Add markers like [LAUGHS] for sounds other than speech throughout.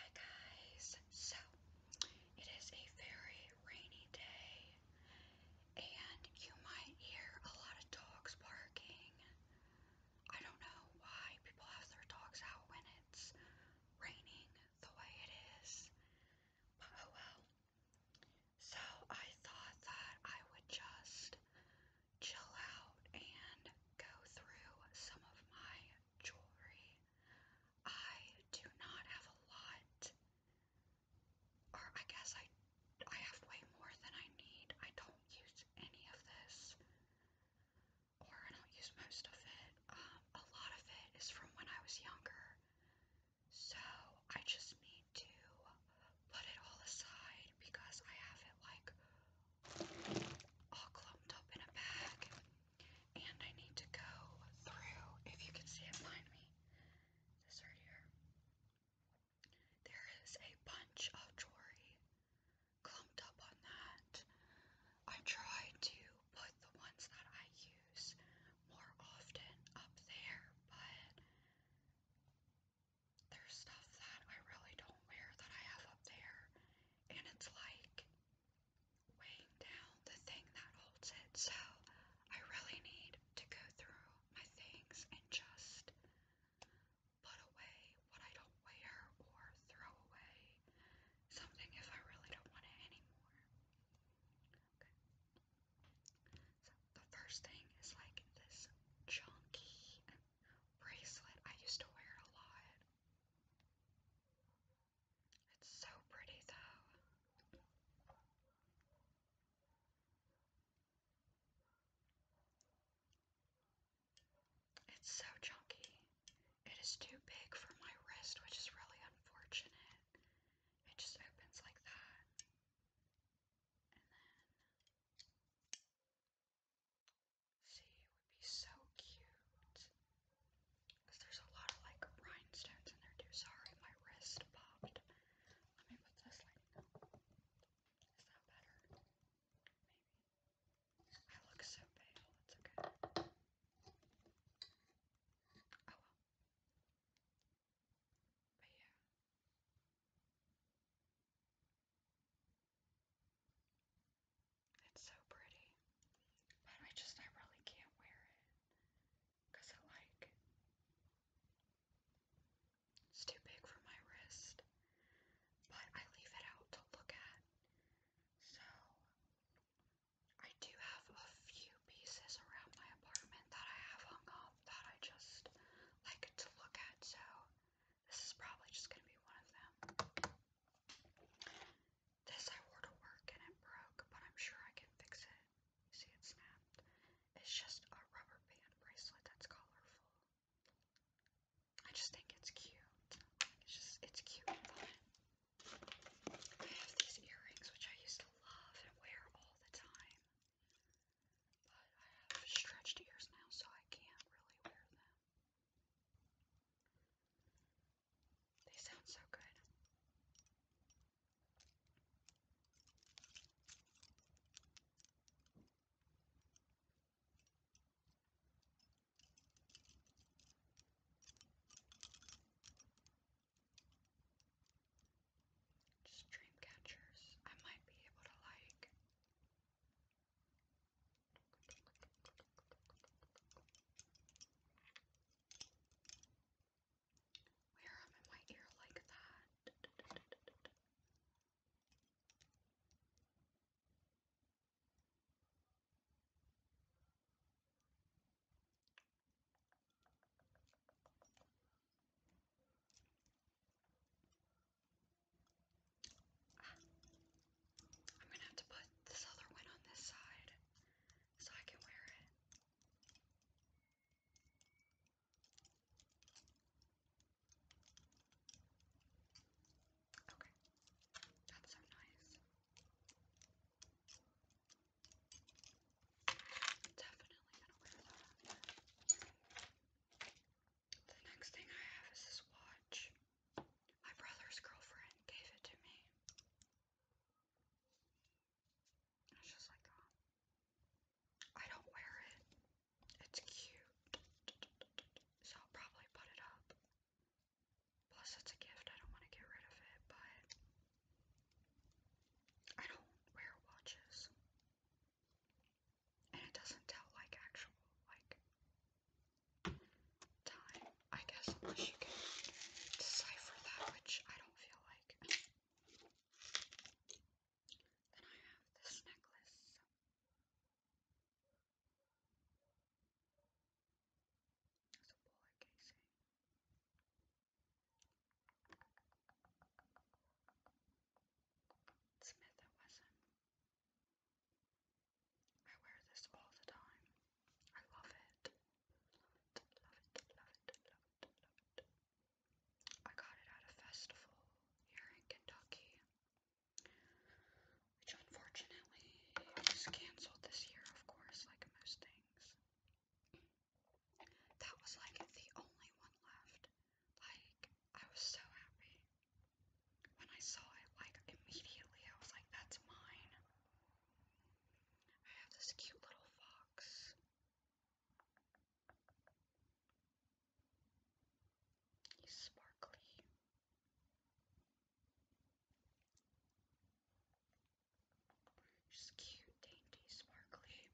Hi guys, so it is a very rainy day, and you might hear a lot of dogs barking. I don't know why people have their dogs out when it's raining the way it is, but oh well. So I thought that I would just chill out and go through some of my jewelry. I do not have a lot, or I guess I I have way more than I need. I don't use any of this, or I don't use most of it. Um, a lot of it is from when I was younger, so I just need to put it all aside because I have it like all clumped up in a bag. And I need to go through, if you can see it behind me, this right here. There is a bunch of jewelry clumped up on that. I try to put the ones that I use more often up there, but there's stuff that I really don't wear that I have up there and it's like weighing down the thing that holds it. So I really need to go through my things and just put away what I don't wear or throw away something if I really don't want it anymore. Okay. So the first thing is like this chunky bracelet. I used to wear it a lot. It's so pretty though. It's so chunky. It is too big for my wrist, which is really unfortunate. It just opens like that. See, it would be so cute. Because there's a lot of like rhinestones in there too. Sorry, my wrist popped. Let me put this like. Is that better? Maybe. I look so pale. It's okay. Oh well. But yeah. It's so pretty. But I just, I really can't wear it. Because I like, it's too big for my wrist. But I leave it out to look at. So, I do have a few pieces around my apartment that I have hung up that I just like to look at. So, this is probably just going to be one of them. This I wore to work and it broke, but I'm sure I can fix it. You see, it snapped. It's just a rubber band bracelet that's colorful. I just think it's cute. It's just, it's cute I have these earrings, which I used to love and wear all the time. But I have stretched ears now, so I can't really wear them. They sound so good. Just dream catchers. I might be able to like where am in my ear like that? I'm gonna have to put this other one on this side so I can wear it. Okay, that's so nice. definitely gonna wear that. The next thing I have is this watch. My brother's girlfriend gave it to me. It's just like, oh, I don't wear it. It's cute. So I'll probably put it up. Plus, it's a gift. I don't want to get rid of it, but I don't wear watches and it doesn't tell like actual like time, I guess, unless you can decipher that, which I don't feel like. Then I have this necklace. It's a bullet casing. Smith and Wesson. I wear this all the time. I love it. Love it, love it, love it, love it, I got it at a festival here in Kentucky, which unfortunately was canceled this year, of course, like most things. That was like the only one left. Like, I was so happy. When I saw it, like immediately, I was like, that's mine. I have this cute little fox. He's sparkly. Just cute, dainty, sparkly.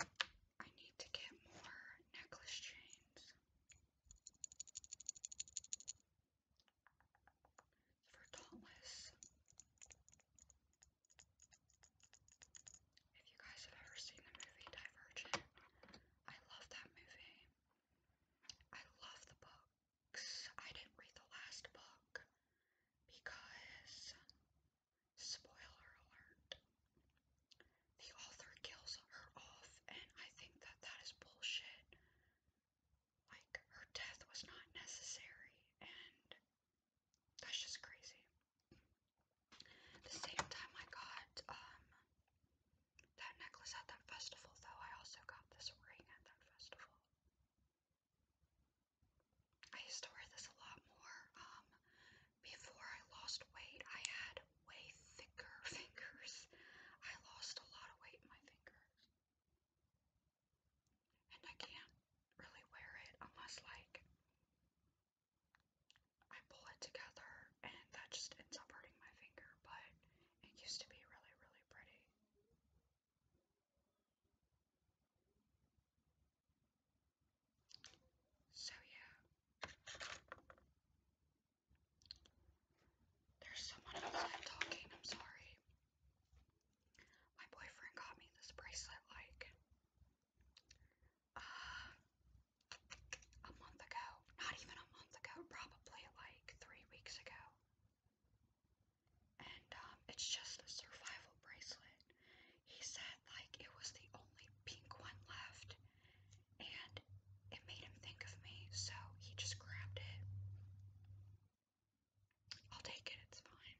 I need to get more necklace chains for Dauntless. If you guys have ever seen the movie Divergent, I love that movie. I love the books. I didn't read the last book because, spoiler alert, the author kills her off, and I think that that is bullshit. Like, her death was not necessary, and that's just crazy. The same time I got um, that necklace at that festival, though, I also got this ring at that festival. I used to wear this a lot more. Um, before I lost weight, I had way thicker [LAUGHS] fingers. I lost a lot of weight in my fingers. And I can't really wear it unless, like, I pull it together, and that just ends up hurting my finger. But it used to be really, really pretty. So, yeah. There's someone outside talking, I'm sorry. My boyfriend got me this bracelet like uh, a month ago. Not even a month ago, probably like three weeks ago. And um, it's just a survival bracelet. He said like it was the only pink one left and it made him think of me, so he just grabbed it. I'll take it, it's fine.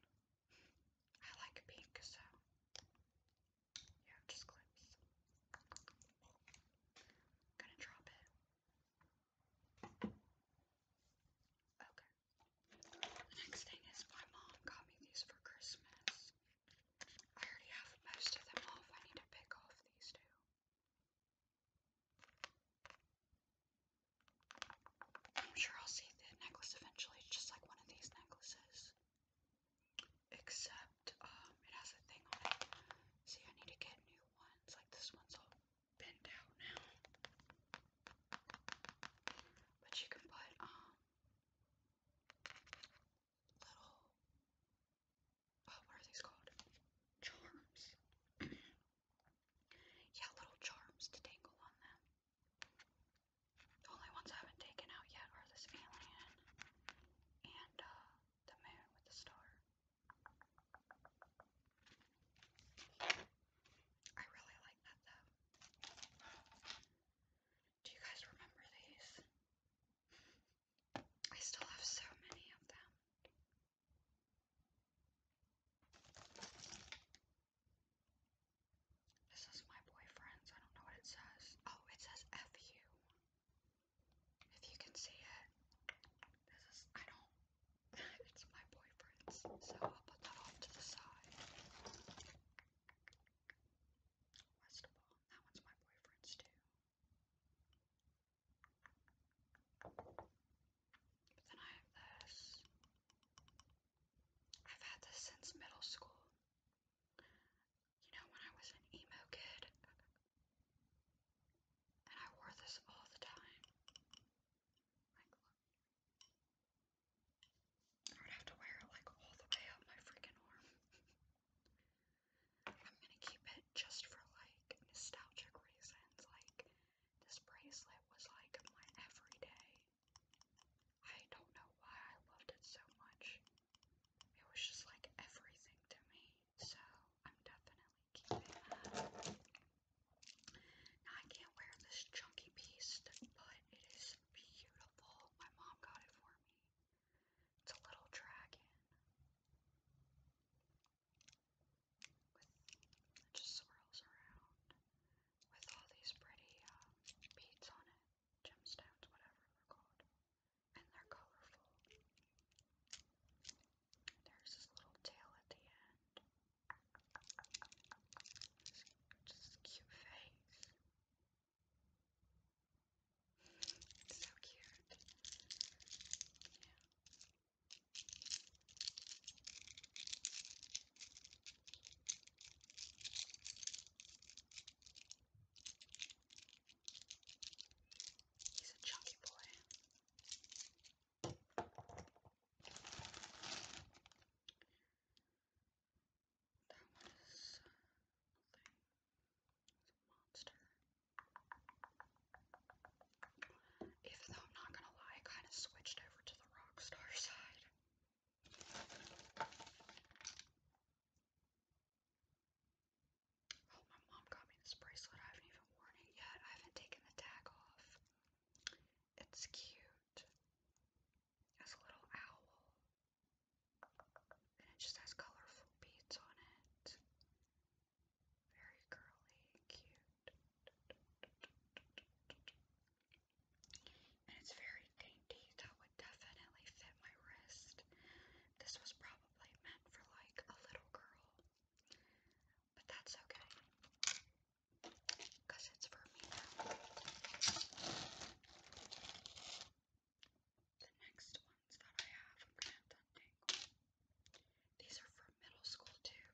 I like pink, so yeah, just clips. Gonna drop it. Okay. The next thing is my mom got me these for Christmas. I already have most of them off. I need to pick off these two. I'm sure I'll see the necklace eventually, just like one of these necklaces. Except, um, it has a thing on it. See, I need to get new ones. Like this one's all bent out now. But you can put, um, little, what are these called? Charms. [CLEARS THROAT] yeah, little charms to dangle on them. The only ones I haven't taken out yet are this alien and uh, the moon with the star. I really like that though. Do you guys remember these? I still have so many of them. This is my boyfriend's. I don't know what it says. Oh, it says FU. If you can see it, this is, I don't, [LAUGHS] it's my boyfriend's. So I'll put that off to the side. Westfall. That one's my boyfriend's too. But then I have this. I've had this since middle school. You know, when I was an emo kid. And I wore this all the time. I would have to wear it like all the way up my freaking arm. [LAUGHS] I'm gonna keep it just for like nostalgic reasons. Like, this bracelet was like my everyday. I don't know why I loved it so much. It was just like everything to me. So, I'm definitely keeping it. I can't wear this chunky piece, but it is beautiful. My mom got it for me. It's a little dragon with just swirls around with all these pretty um, beads on it, gemstones, whatever they're called, and they're colorful. There's this little tail at the end. just cute face. It's so cute. Yeah. He's a chunky boy. That was a monster. Even though I'm not gonna lie, I kind of switched over to the rock [LAUGHS] side. Oh, my mom got me this bracelet. I haven't even worn it yet. I haven't taken the tag off. It's cute. It's a little owl it just has colorful beads on it. Very curly cute. And it's very dainty. That would definitely fit my wrist. This was probably meant for like a little girl. But that's okay. Because it's for me now. The next ones that I have, I'm gonna have to untangle. These are from middle school too.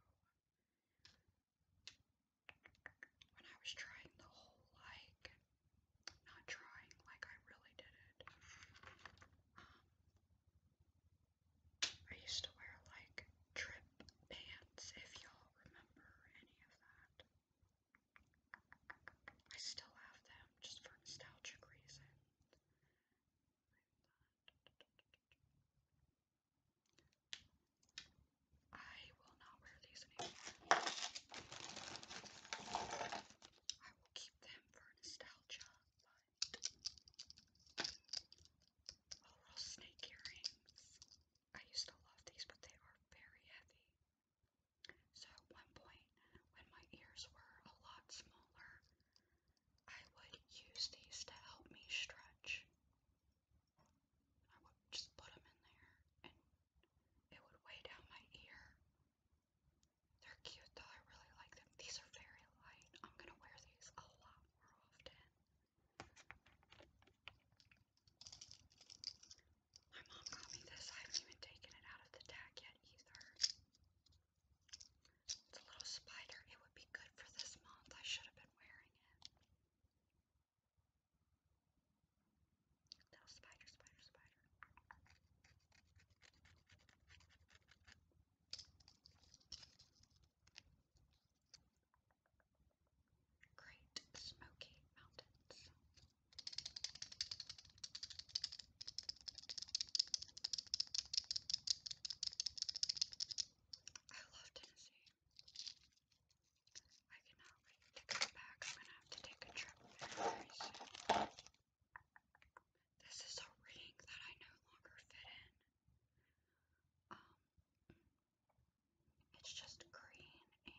When I was trying the whole like, not trying, like I really did it. Um, I used to wear like trip pants, if y'all remember any of that. I still have them just for nostalgic reason. I will not wear these anymore. I will keep them for nostalgia, oh, little snake earrings. I used to love these, but they are very heavy. So at one point, when my ears were a lot smaller, I would use these to help me stretch. I would just put them in there and it would weigh down my ear. They're cute though, I really like them. These are very light. I'm gonna wear these a lot more often. My mom got me this. I haven't even taken it out of the tag yet either. It's a little spider. It would be good for this month. I should have been wearing it. Little spider, spider, spider. Great Smoky Mountains. I love Tennessee. I cannot wait to come back. I'm gonna have to take a trip very soon. This is a ring that I no longer fit in. Um, it's just green and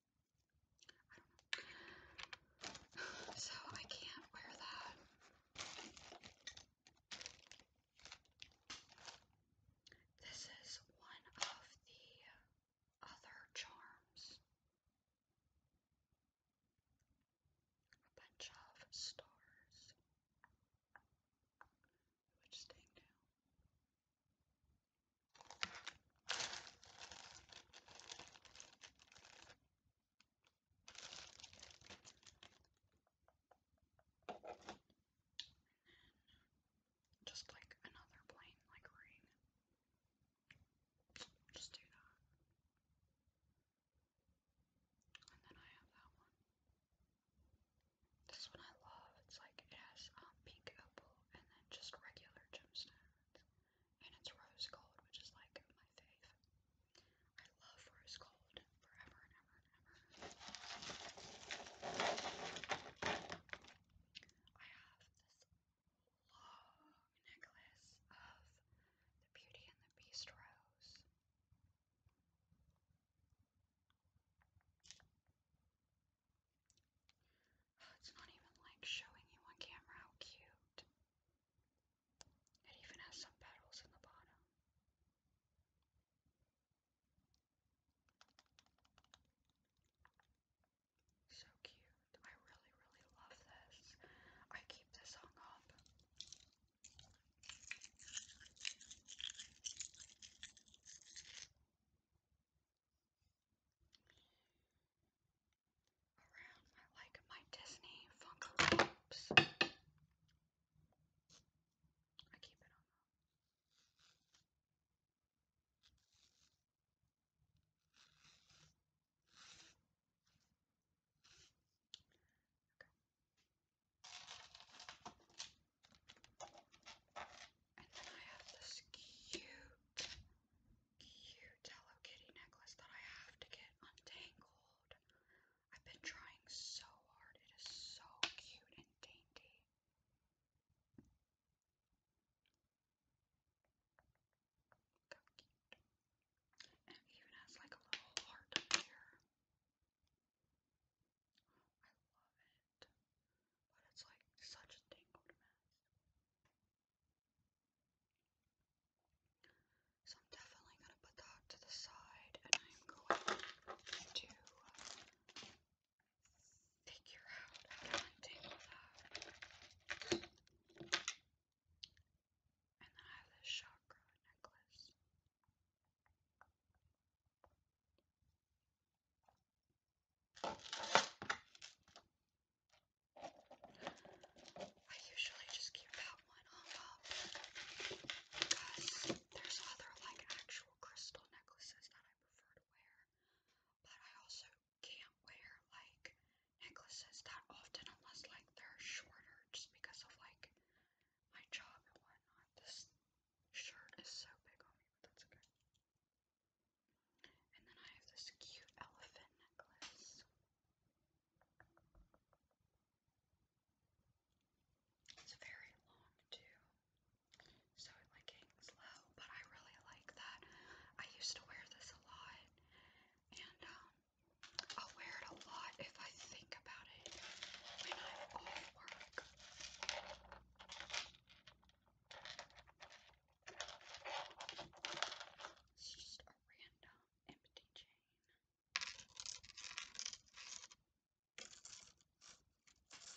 so I can't wear that. This is one of the other charms. A bunch of stars. Which staying and just like another plain like ring. Just do that. And then I have that one. This one I love. It's like it has um, pink opal and then just regular gemstones and it's rose gold, which is like my fave. I love rose gold forever and ever and ever. I have this long necklace of the Beauty and the Beast rose. It's not even like showing you on camera how cute. It even has some petals in the bottom. So cute. I really, really love this. I keep this hung up around my like my Disney Funko Pops. I keep it on the Okay. And then I have this cute cute Hello Kitty necklace that I have to get untangled. I've been trying so hard. It is so cute and dainty. even has like a little heart up here. I love it. But it's like such a tangled mess. So I'm definitely going to put that to the side and I'm going to uh, figure out how And then I have this chakra necklace. I usually just keep that one hung up because there's other like actual crystal necklaces that I prefer to wear, but I also can't wear like necklaces that often unless like they're shorter just because of like my job and whatnot. This shirt is so big on me, but that's okay. And then I have this cute elephant necklace. It's very long too, so it like hangs low, but I really like that. I used to wear this a lot, and um, I'll wear it a lot if I think about it when I'm off work. It's just a random empty chain. This is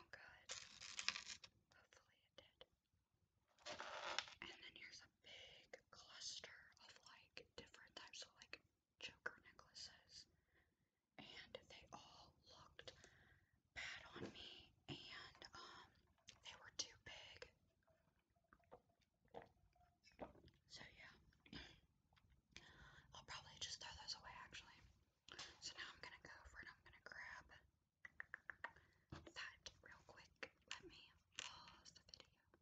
sound oh, good. Hopefully it did. And then here's a big cluster of like different types of like choker necklaces. And they all looked bad on me and um they were too big. So yeah. [CLEARS THROAT] I'll probably just throw those away actually. So now I'm going to go over and I'm going to grab that real quick. Let me pause the video.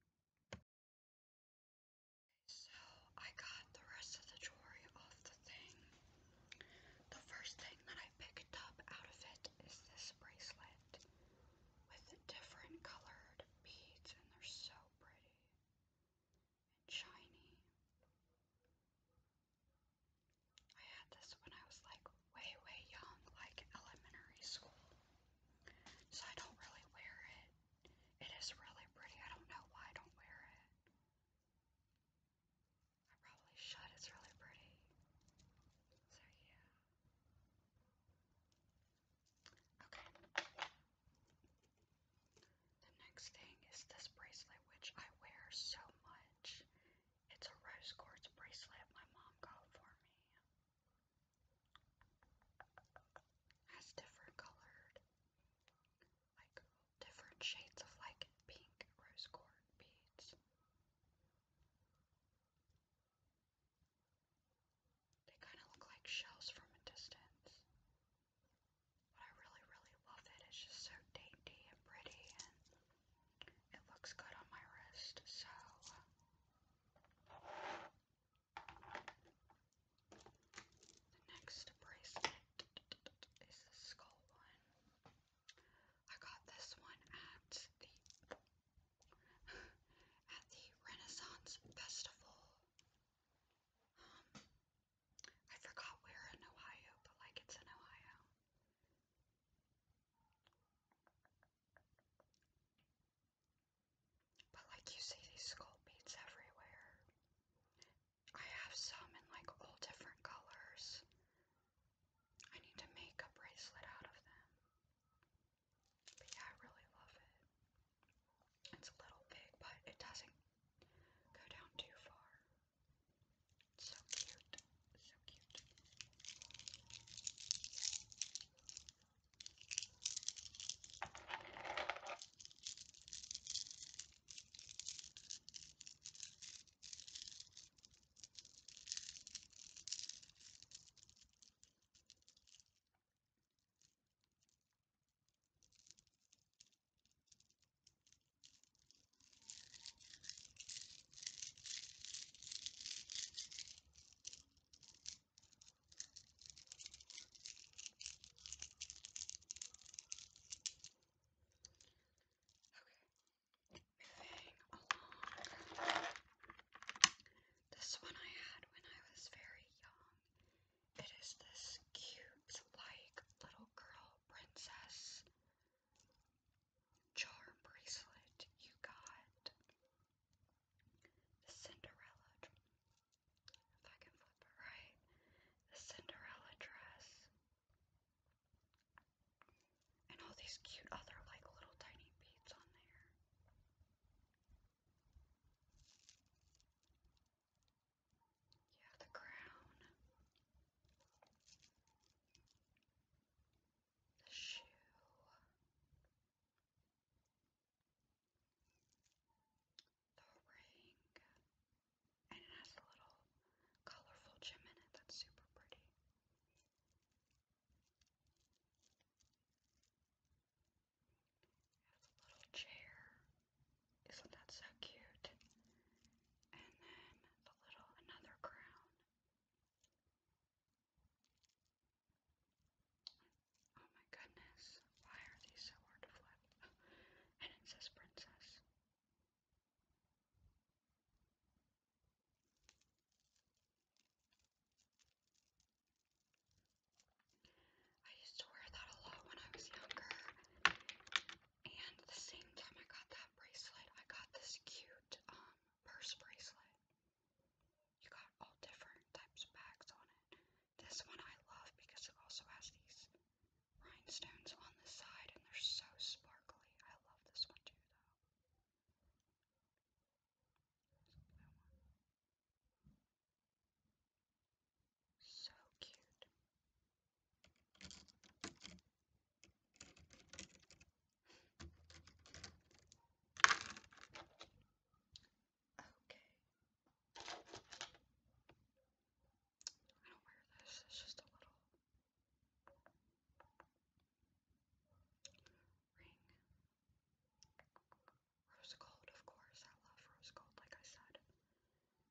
So I got the rest of the jewelry off the thing. The first thing that I picked up out of it is this bracelet with different colored beads, and they're so pretty and shiny. I had this when I was like way, way young, like elementary school. So I don't really wear it. It is really pretty. I don't know why I don't wear it. I probably should. It's really pretty. So yeah. Okay. The next thing is this bracelet, which I wear so much. It's a rose quartz bracelet my mom got for me. Has different colored, like different shades of like pink rose quartz beads. They kind of look like shells from a distance. I really, really love it. It's just so dainty and pretty, and it looks good on my wrist. So. The next bracelet is the skull one. I got this one at the at the Renaissance Festival. Um, I forgot where in Ohio, but like it's in Ohio. But like you see these skull everywhere. I have some in like all different colors. I need to make a bracelet out of them. But yeah, I really love it. It's a little big, but it doesn't go down too far. So cute, so cute. Okay, moving along. This one I had when I was very young. It is this cute, like, little girl princess charm bracelet you got the Cinderella if I can flip it right the Cinderella dress and all these cute other like little tiny beads on there you have the crown, the shoe. The ring, and it has a little colorful gem in it that's super pretty. It has a little chair, isn't that so cute? And then the little another crown. Oh my goodness, why are these so hard to flip? and it says princess. I used to wear that a lot when I was younger. And the same time I got that bracelet, I got this cute um, purse bracelet. You got all different types of bags on it. This one I love because it also has these rhinestones on the side and they're so sparkly. I love this one too though. So cute. Okay. I don't wear this, it's just a little ring. Rose gold, of course. I love rose gold, like I said.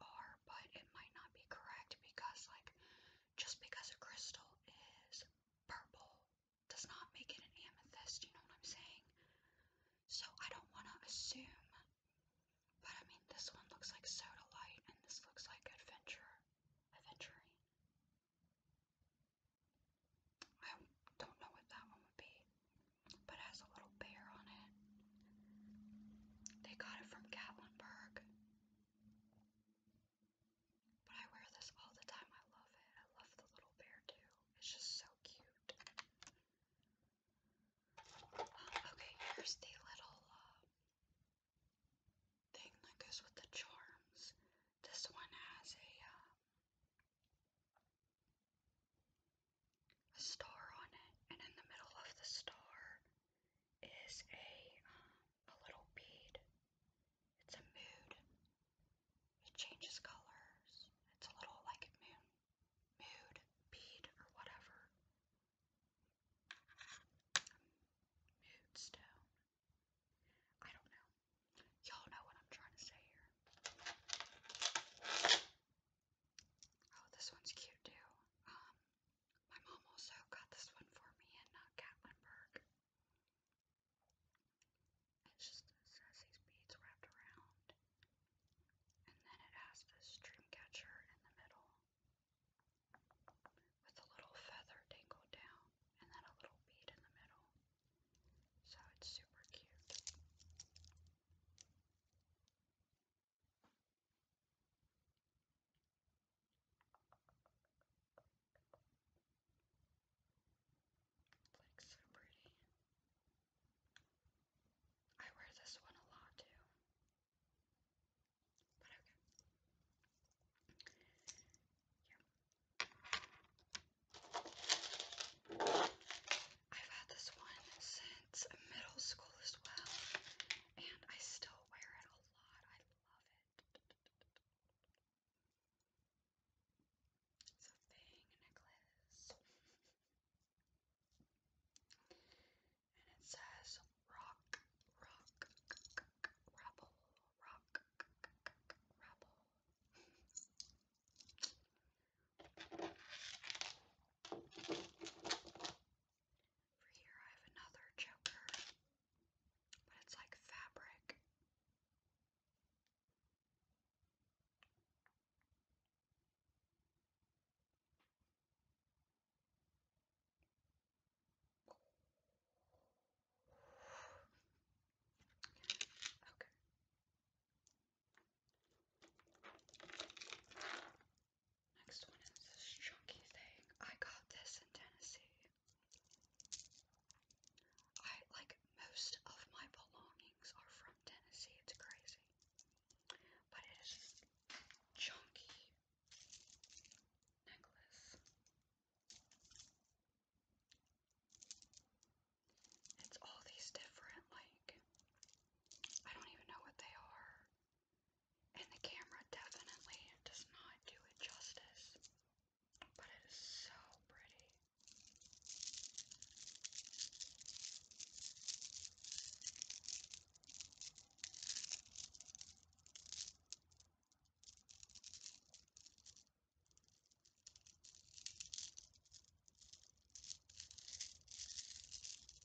are, but it might not be correct because, like, just because a crystal is purple does not make it an amethyst, you know what I'm saying? So I don't want to assume, but I mean, this one looks like soda light and this looks like adventure, Adventure. I don't know what that one would be but has a little bear on it. They got it from Gatlinburg. But I wear this all the time. I love it. I love the little bear too. It's just so cute. Uh, okay, here's the little um, thing that goes with the charms. This one has a. Um, a star on it, and in the middle of the star is a um, a little bead. It's a mood. It changes colors. It's a little like a moon mood bead or whatever. Mood stone. I don't know. Y'all know what I'm trying to say here. Oh, this one's cute too. Um, my mom also got this one for me in uh, Gatlinburg. It just says these beads wrapped around, and then it has this dream in the middle with a little feather dangled down, and then a little bead in the middle. So it's super cute. Like so pretty. I wear this one a lot too. But okay. Yeah. I've had this one since middle school as well, and I still wear it a lot. I love it. It's a fang necklace. And it says rock, rock, rebel, rock, rebel. For here I have another choker, but it's like fabric. Okay. Next one is this chunky thing. I got this in Tennessee. I like most of my belongings are from Tennessee. It's crazy. But it is just necklace. It's all these different like I don't even know what they are. And the camera definitely does not do it justice. But it is so pretty.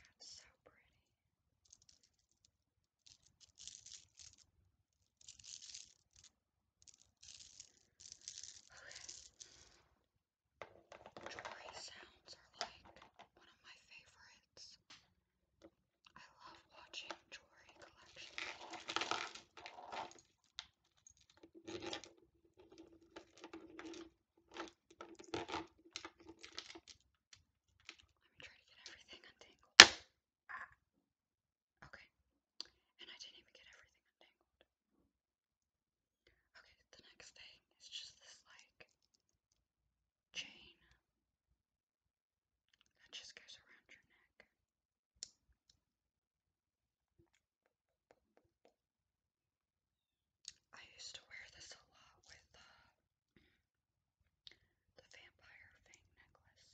That's so pretty. Okay. Jewelry sounds are like one of my favorites. I love watching jewelry collections. Let me try to get everything untangled. Okay. And I didn't even get everything untangled. Okay, the next thing is just this like chain that just goes around your neck. I used to wear this a lot with uh, the vampire fang necklace.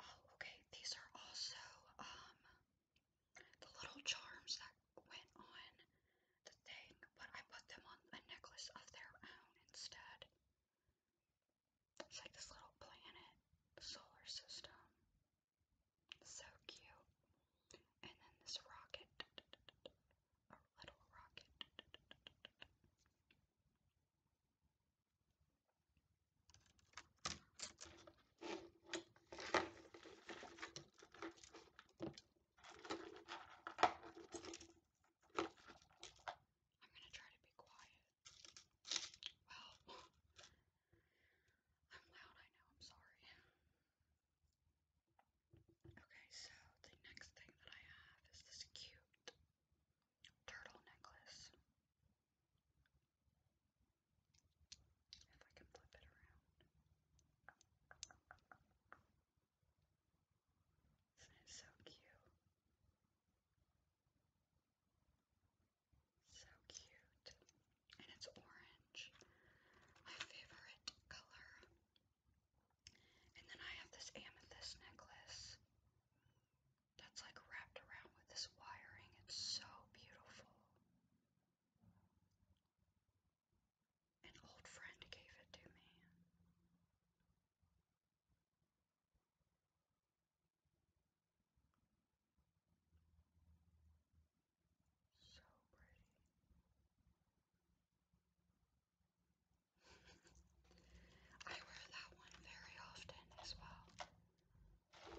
Oh, okay. These are also um the little charms that went on the thing, but I put them on a necklace of their own instead. It's like this little planet, solar system. So cute. And then this rocket, a little rocket. I'm gonna try to be quiet. Well, [SIGHS] I'm loud, I know, I'm sorry. Okay, so the next thing that I have is this cute turtle necklace. If I can flip it around. is so cute? So cute. And it's orange. My favorite color. And then I have this amethyst necklace that's like wrapped around with this wiring. It's so beautiful. An old friend gave it to me. So pretty. [LAUGHS] I wear that one very often as well. The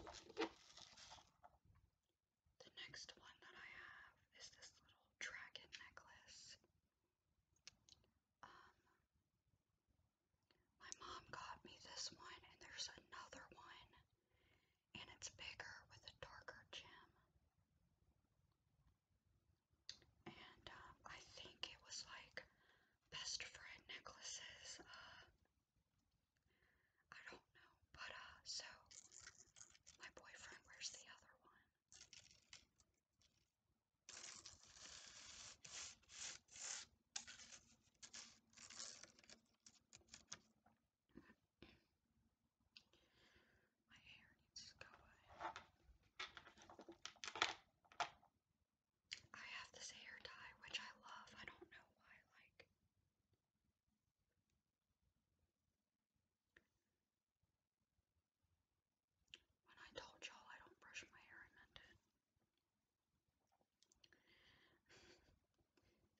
next one that I have is this little dragon necklace. Um, my mom got me this one, and there's another one, and it's bigger with a darker gem. And um, I think it was like best friend necklaces. Uh, I don't know, but uh, so my boyfriend wears the other one. My hair needs to go I have this hair dye, which I love. I don't know why, like, when I told y'all I don't brush my hair, I meant it. [LAUGHS]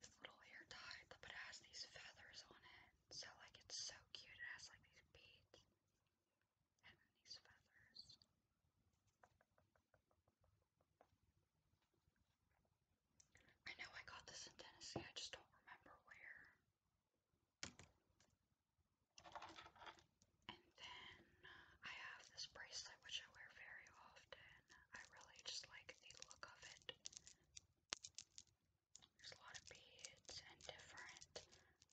this little hair tie, but it has these feathers on it. So, like, it's so cute. It has, like, these beads and then these feathers. I know I got this in Tennessee, I just don't remember where. And then I have this bracelet which I wear very often. I really just like the look of it. There's a lot of beads and different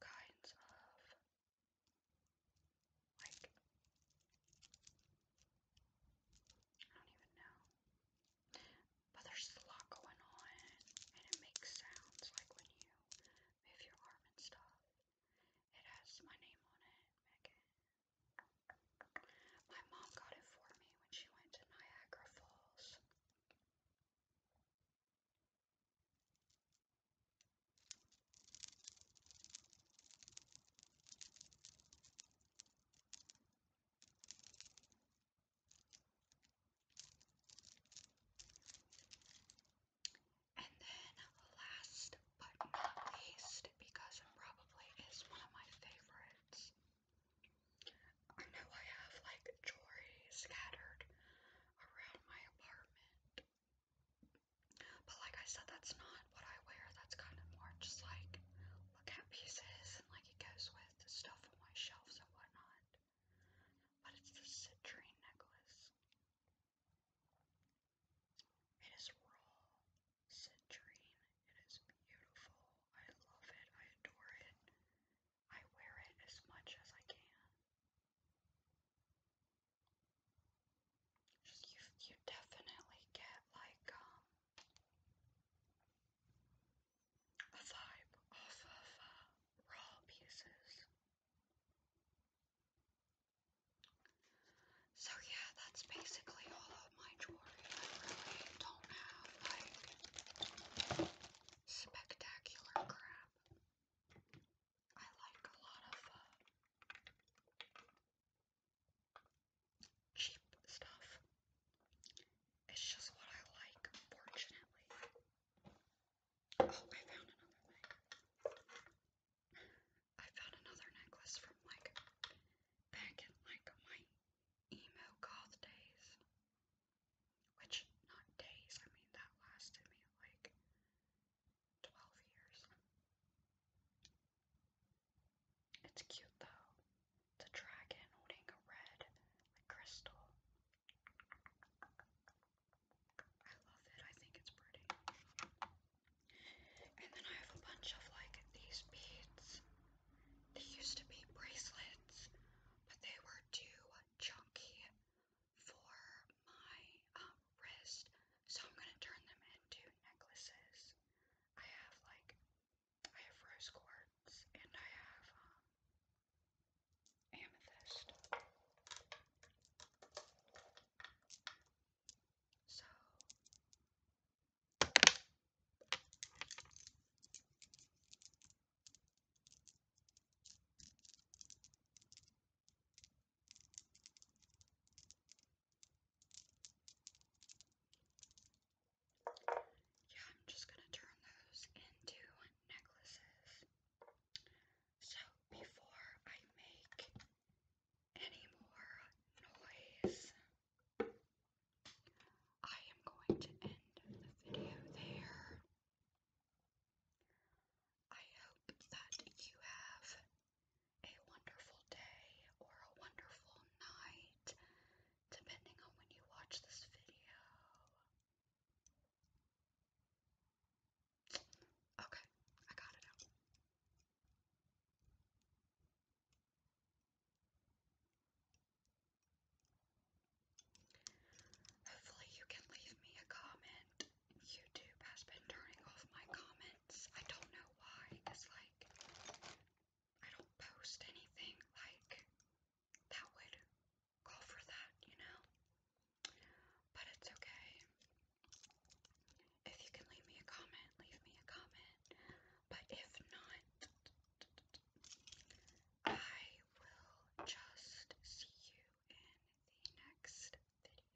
kinds of like, I don't even know. But there's a lot going on, and it makes sounds like when you move your arm and stuff. It has my name on it, Megan. My mom got it for me when she went to Niagara Falls. And then last but not least, because it probably is one of my favorites. I know I have like jewelry scattered around my apartment. But like I said, that's not what I wear. That's kind of more just like look at pieces and like it goes with the stuff on my shelves and whatnot. But it's the citrine necklace. It is raw citrine. It is beautiful. I love it. I adore it. I wear it as much as I can you, you definitely get like um a vibe off of uh, raw pieces. So yeah, that's basically all of my jewelry. I really don't have like spectacular crap. I like a lot of uh, cheap stuff. It's just what I like, fortunately. Oh, I found another I found another necklace from like back in like my emo goth days. Which, not days, I mean that lasted me like 12 years. It's cute though. It's a dragon holding a red crystal. I love it. I think it's pretty. And then I have a bunch of like these beads. They used to be bracelets, but they were too chunky for my um, wrist, so I'm gonna turn them into necklaces. I have like I have rose quartz and I have um, amethyst. So yeah, I'm just gonna turn those into necklaces. So before I make any more noise, I am going to end the video there. I hope that you have a wonderful day or a wonderful night, depending on when you watch this video. Okay, I got it out. Hopefully, you can leave me a comment. YouTube has been turning off my comments. I don't know why. It's like I don't post anything like that would call for that, you know? But it's okay. If you can leave me a comment, leave me a comment. But if not, I will just see you in the next video.